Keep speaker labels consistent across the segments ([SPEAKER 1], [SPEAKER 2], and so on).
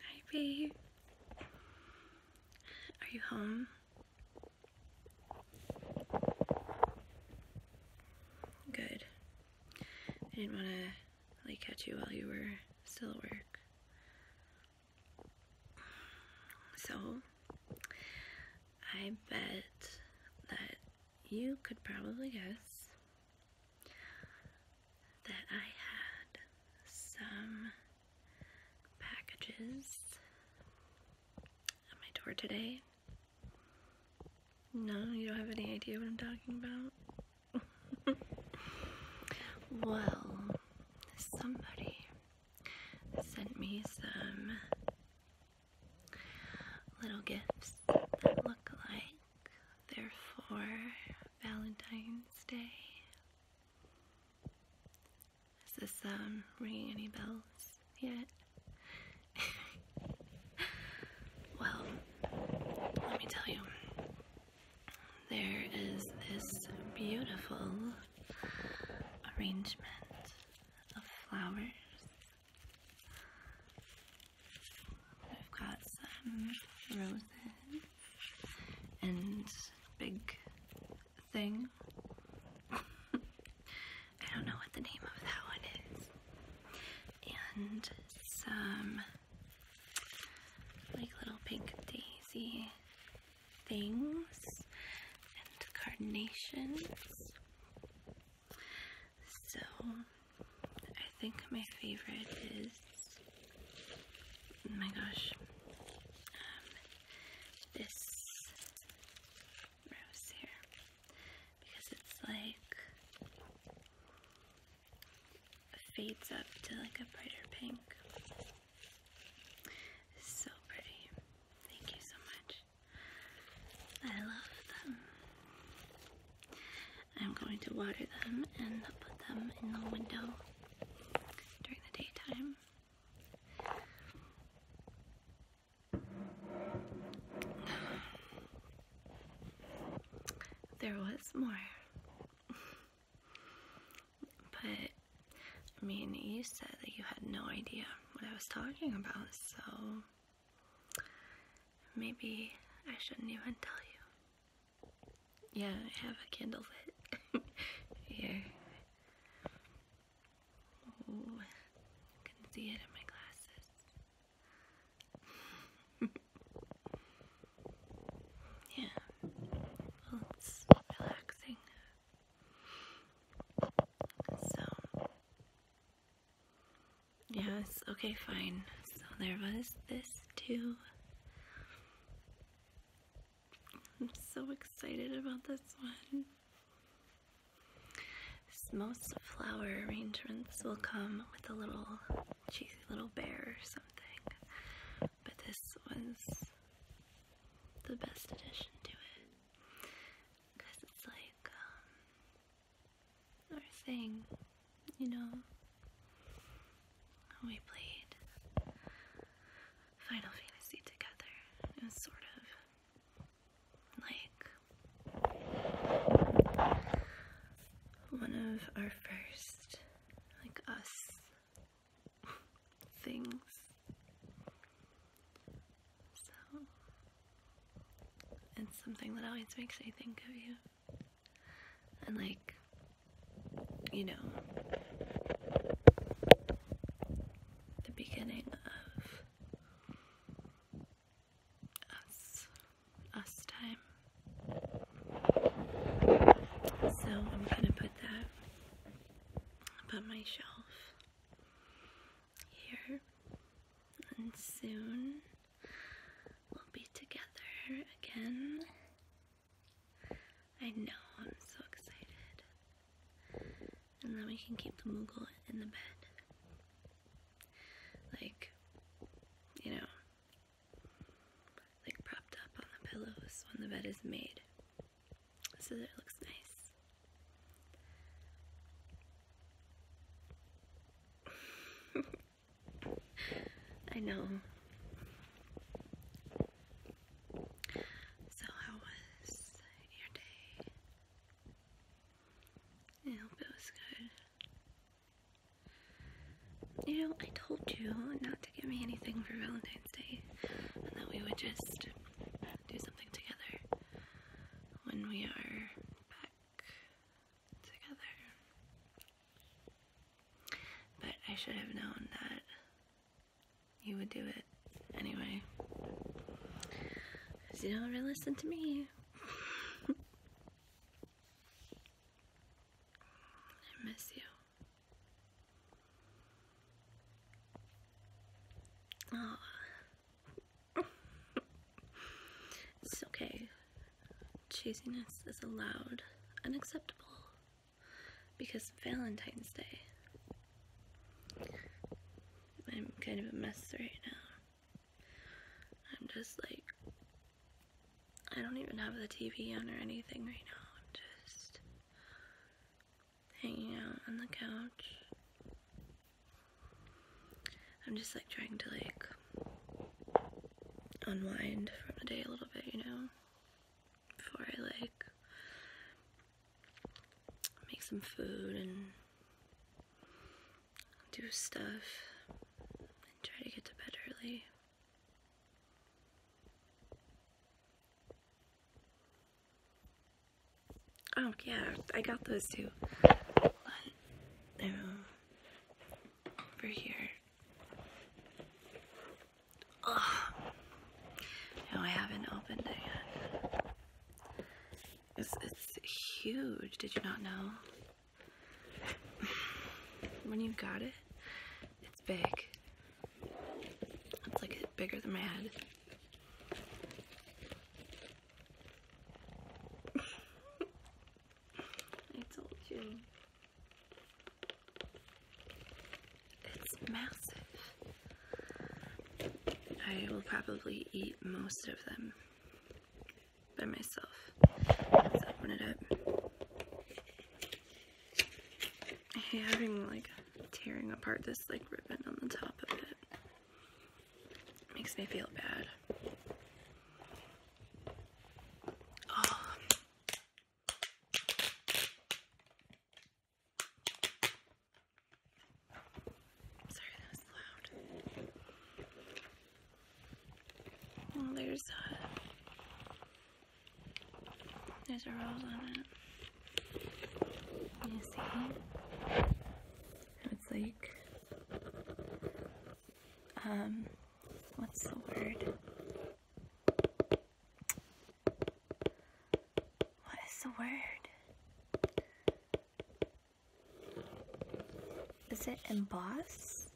[SPEAKER 1] Hi, babe. Are you home? Good. I didn't want to like catch you while you were still at work. So, I bet that you could probably guess that I had some packages at my door today. No, you don't have any idea what I'm talking about? well, somebody sent me some little gifts that look like Therefore, Valentine's Day. Is this um, ringing any bells yet? well, let me tell you. There is this beautiful arrangement of flowers I've got some roses and big thing. I don't know what the name of that one is. And some like little pink daisy things and carnations. So I think my favorite is oh my gosh um, this rose here because it's like fades up to like a brighter pink. So pretty. Thank you so much. I love them. I'm going to water them and put them in the window during the daytime. There was more. but, I mean, you said that you had no idea what I was talking about, so Maybe I shouldn't even tell you. Yeah, I have a candle lit here. Oh, you can see it in my glasses. yeah, well, it's relaxing. So, Yes, okay, fine. So there was this too. I'm so excited about this one. Most flower arrangements will come with a little cheesy little bear or something, but this was the best addition to it because it's like um, our thing, you know. We played Final Fantasy together. It was sort of like one of our first, like, us things. So, it's something that always makes me think of you. And, like, you know, the beginning of us, us time. So I'm gonna put that above my shelf here, and soon We'll be together again. I know, I'm so excited. And then we can keep the Moogle in the bed. Like, you know, like propped up on the pillows when the bed is made. So that it looks nice. I know. So, how was your day? I hope it was good. You know, I told you not to give me anything for Valentine's Day and that we would just do something together when we are back together. But I should have known that you would do it anyway. you don't ever listen to me. I miss you. Oh, it's okay. Chasiness is allowed unacceptable. because Valentine's Day. I'm kind of a mess right now. I'm just like, I don't even have the TV on or anything right now. I'm just hanging out on the couch I'm just like trying to like unwind from the day a little bit, you know, before I like make some food and do stuff and try to get to bed early. Oh, yeah, I got those too. Hold on. Over here. No, I haven't opened it yet. it's huge. Did you not know? when you got it, it's big. It's like bigger than my head. I told you. It's massive. I will probably eat most of them by myself. let I hate having like tearing apart this like ribbon on the top of it. Makes me feel bad. Um, sorry, that was loud. Well, there's uh, there's a rose on it. You see? it's like um what's the word? What is the word? Is it emboss?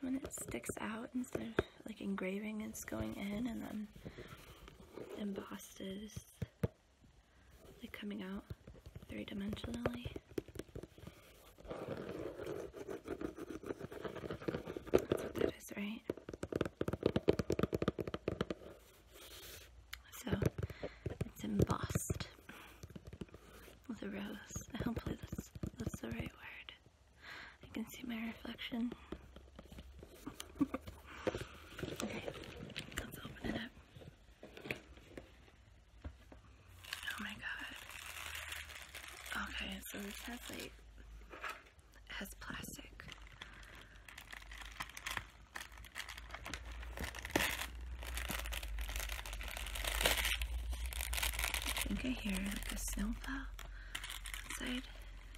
[SPEAKER 1] When it sticks out instead of like engraving, it's going in and then embossed is like coming out three-dimensionally. That's right? So it's embossed with a rose. Hopefully that's that's the right word. I can see my reflection okay, let's open it up. Oh my god. Okay, so this has like, it has plastic. I think I hear like a snowplow outside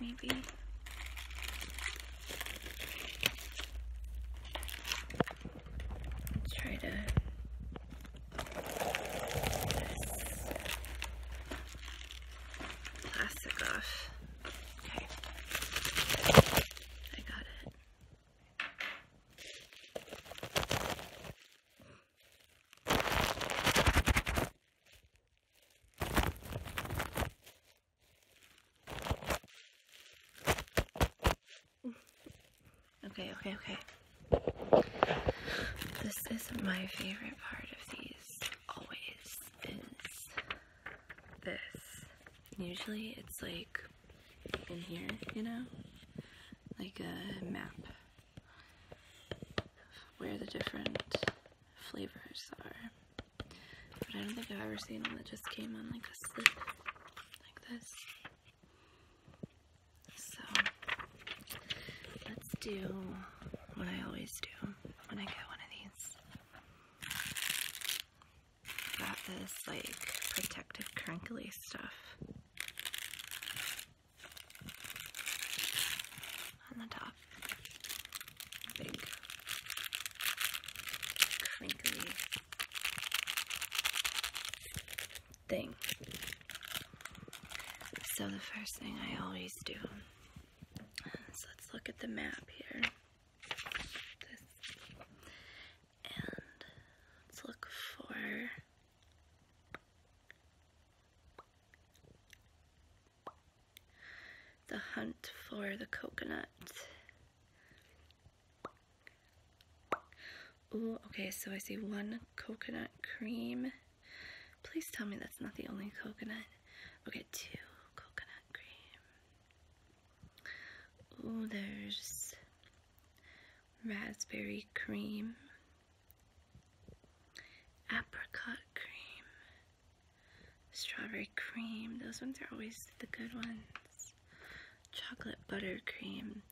[SPEAKER 1] me maybe. Let's try to. Plastic off. Okay. I got it. Okay, okay, okay. This is my favorite part of these always is this. Usually it's like in here, you know? Like a map where the different flavors are. But I don't think I've ever seen one that just came on like a slip like this. So let's do what I always do when I get one of these. I this like protective crinkly stuff. on the top I crinkly thing. So the first thing I always do let's look at the map here. And let's look for the hunt for the coconut. Ooh, okay, so I see one coconut cream. Please tell me that's not the only coconut. Okay, two coconut cream. Ooh, there's raspberry cream, apricot cream, strawberry cream. Those ones are always the good ones. Chocolate buttercream,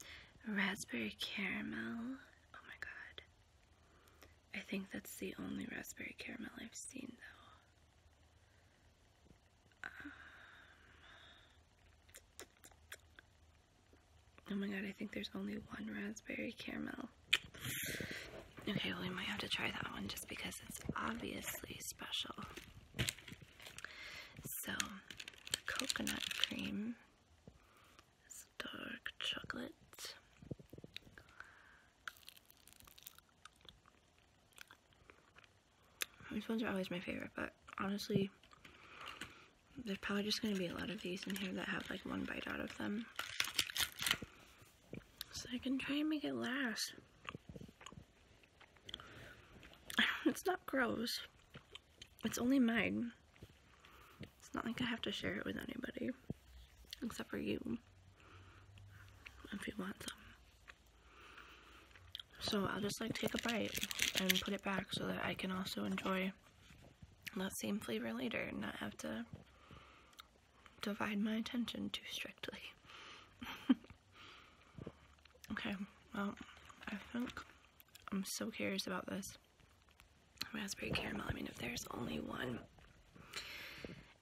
[SPEAKER 1] raspberry caramel. Oh my god. I think that's the only raspberry caramel I've seen though. Um, oh my god, I think there's only one raspberry caramel Okay, well, we might have to try that one just because it's obviously special. So, coconut cream is dark chocolate. These ones are always my favorite, but honestly, there's probably just going to be a lot of these in here that have like one bite out of them. So I can try and make it last. it's not gross. It's only mine. It's not like I have to share it with anybody. Except for you. If you want some. So I'll just like take a bite and put it back so that I can also enjoy that same flavor later and not have to divide my attention too strictly. okay, well, I think I'm so curious about this raspberry caramel. I mean, if there's only one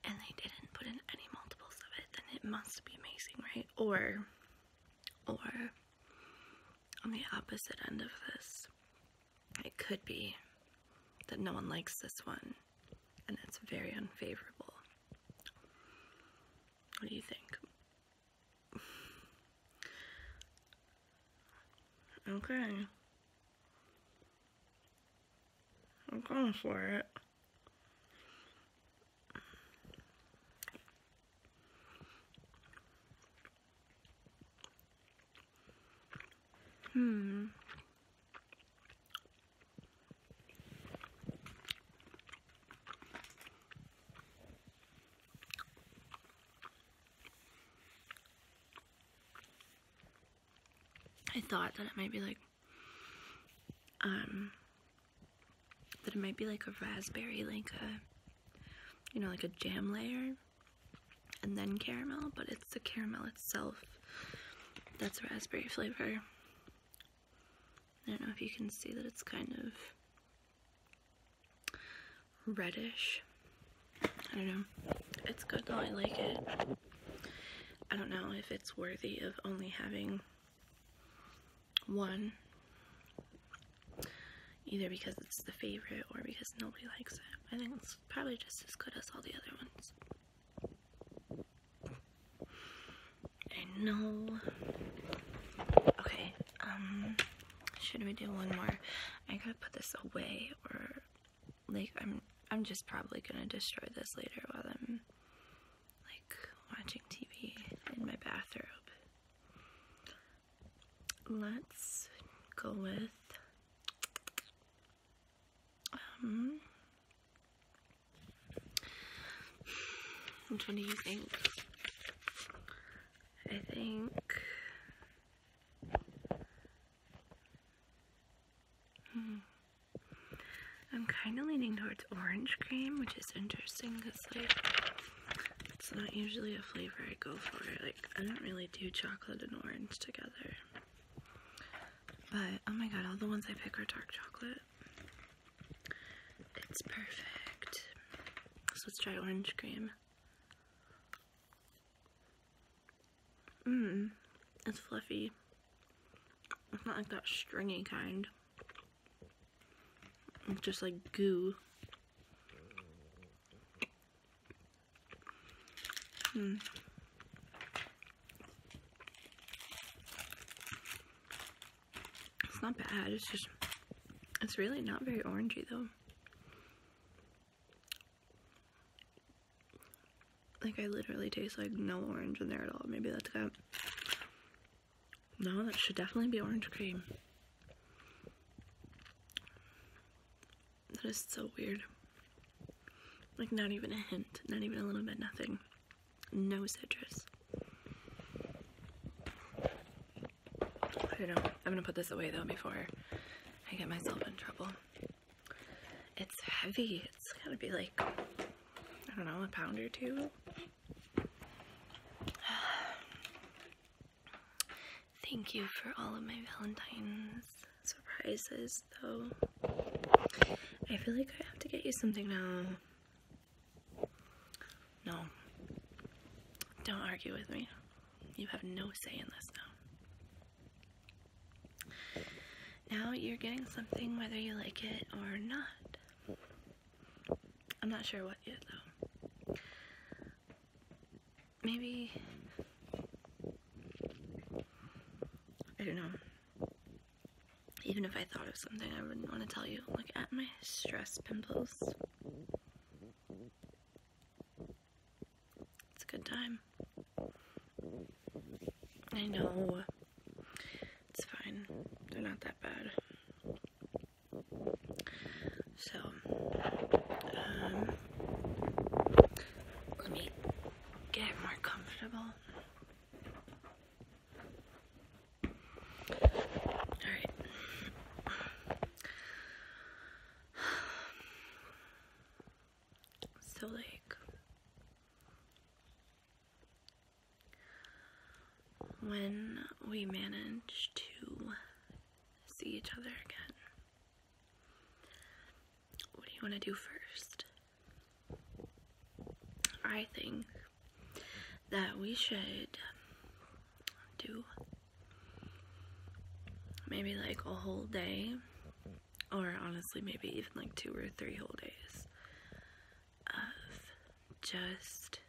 [SPEAKER 1] and they didn't put in any multiples of it, then it must be amazing, right? Or, or on the opposite end of this, it could be that no one likes this one, and that's very unfavorable. What do you think? Okay. I'm going for it. Hmm. I thought that it might be like, um, that it might be like a raspberry, like a, you know, like a jam layer and then caramel, but it's the caramel itself that's raspberry flavor. I don't know if you can see that it's kind of reddish. I don't know. It's good though, I like it. I don't know if it's worthy of only having one. Either because it's the favorite or because nobody likes it. I think it's probably just as good as all the other ones. I know. Okay, um, should we do one more? I gotta put this away or, like, I'm, I'm just probably gonna destroy this later while I'm, like, watching TV in my bathrobe. Let's go with um, which one do you think? I think. Hmm, I'm kind of leaning towards orange cream, which is interesting because, like, it's not usually a flavor I go for. Like, I don't really do chocolate and orange together. But oh my god, all the ones I pick are dark chocolate. It's perfect. let's try orange cream. Mmm, it's fluffy. It's not like that stringy kind. It's just like goo. Hmm. It's not bad, it's just, it's really not very orangey though. Like I literally taste like no orange in there at all. Maybe that's no, that should definitely be orange cream. That is so weird. Like, not even a hint, not even a little bit, nothing. No citrus. I don't know. I'm gonna put this away though before I get myself in trouble. It's heavy. It's gotta be like, I don't know, a pound or two. Thank you for all of my Valentine's surprises, though. I feel like I have to get you something now. No. Don't argue with me. You have no say in this now. you're getting something whether you like it or not. I'm not sure what yet, though maybe I don't know. Even if I thought of something, I wouldn't want to tell you. Look at my stress pimples. It's a good time. I know. It's fine. They're not that bad. So, um, let me get more comfortable. Alright. So, like, when we manage to see each other again, what do you want to do first? I think that we should do maybe like a whole day, or honestly, maybe even like two or three whole days of just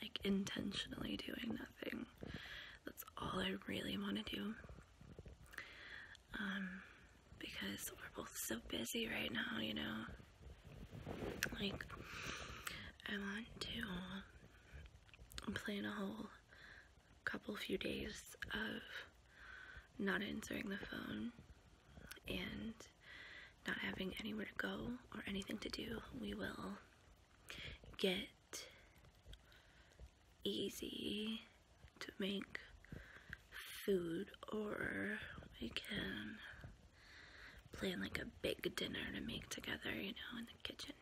[SPEAKER 1] like intentionally doing nothing. That's all I really want to do. Um, because we're both so busy right now, you know. Like, I want to plan a whole couple few days of not answering the phone and not having anywhere to go or anything to do. We will get easy to make food or we can plan like a big dinner to make together, you know, in the kitchen.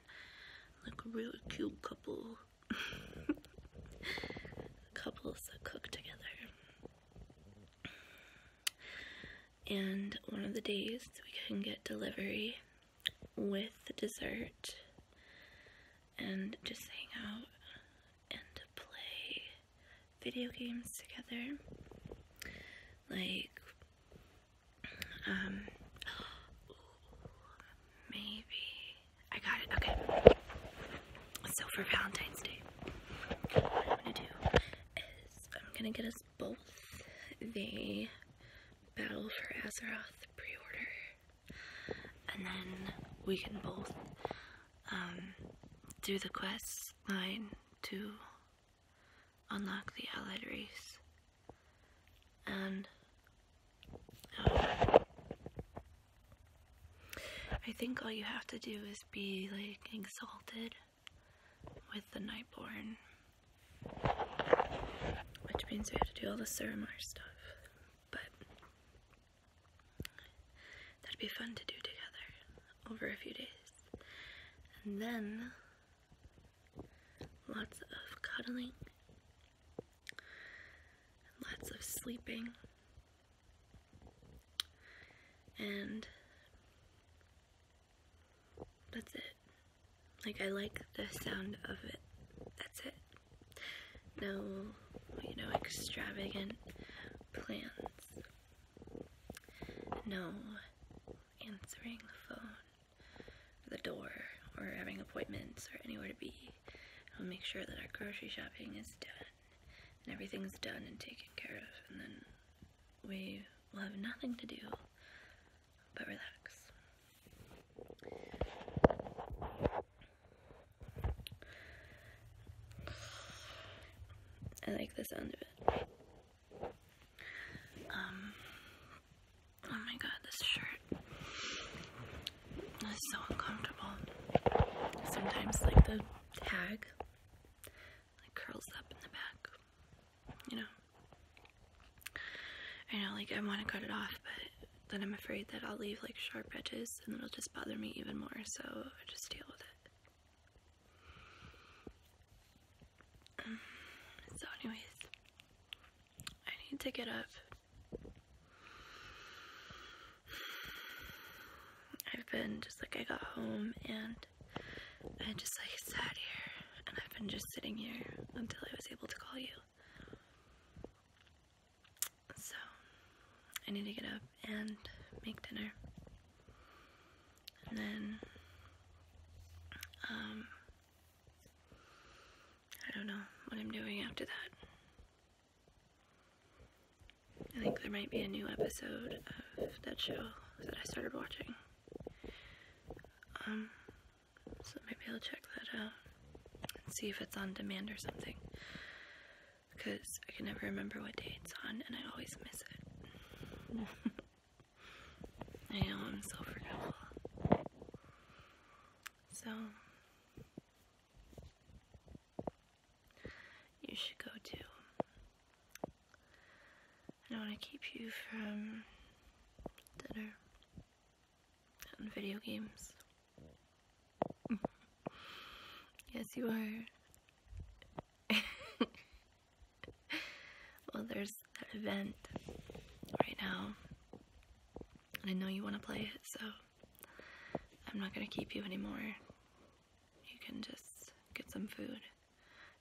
[SPEAKER 1] Like a really cute couple. Couples that cook together. And one of the days we can get delivery with dessert and just hang out and play video games together. Like, um, maybe. I got it. Okay. So for Valentine's Day, am going to I'm going to get us both they Battle for Azeroth pre-order and then we can both um, do the quest line to unlock the allied race and um, I think all you have to do is be like exalted with the Nightborn which means we have to do all the Suramar stuff. But that'd be fun to do together over a few days. And then lots of cuddling, lots of sleeping, and that's it. Like, I like the sound of it. That's it. No, you know, extravagant plans. No answering the phone, the door, or having appointments or anywhere to be. I'll make sure that our grocery shopping is done and everything's done and taken care of, and then we will have nothing to do but relax. I like the sound of it. Um, oh my god, this shirt is so uncomfortable. Sometimes, like, the tag like curls up in the back. You know. I know, like I want to cut it off, but then I'm afraid that I'll leave like sharp edges and it'll just bother me even more. So I just deal with it. So, anyways, I need to get up. I've been just like I got home and I just like sat here and I've been just sitting here until I was able to call you. So I need to get up and make dinner. And then um, I don't know what I'm doing after that. I think there might be a new episode of that show that I started watching. Um, so maybe I'll check that out and see if it's on demand or something. Because I can never remember what day it's on and I always miss it. I know I'm so forgetful. So, you should go too. I don't want to keep you from dinner and video games. yes, you are. well, there's that event right now, and I know you want to play it, so I'm not going to keep you anymore. You can just get some food.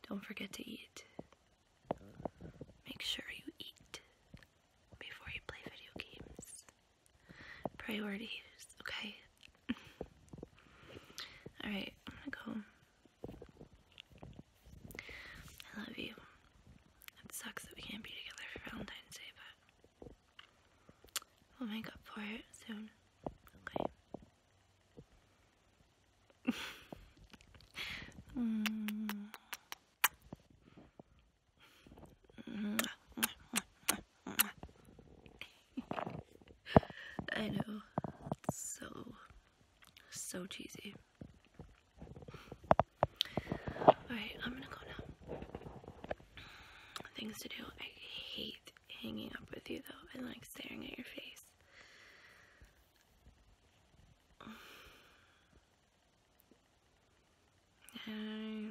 [SPEAKER 1] Don't forget to eat. Make sure you eat before you play video games. Priorities, okay? Alright, I'm gonna go. I love you. It sucks that we can't be together for Valentine's Day, but we'll make up for it soon. Okay? I know, so, so cheesy. Alright, I'm gonna go now. Things to do. I hate hanging up with you though and like staring at your face. I...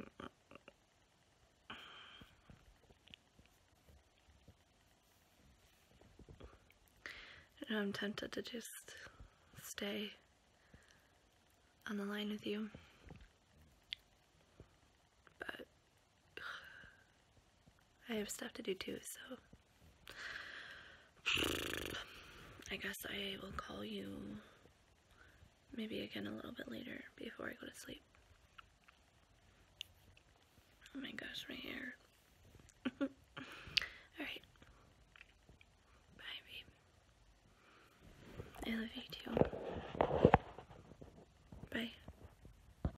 [SPEAKER 1] am tempted to just stay on the line with you, but I have stuff to do too, so I guess I will call you maybe again a little bit later before I go to sleep. Oh my gosh, my hair. Alright. Bye, babe. I love you too. Bye.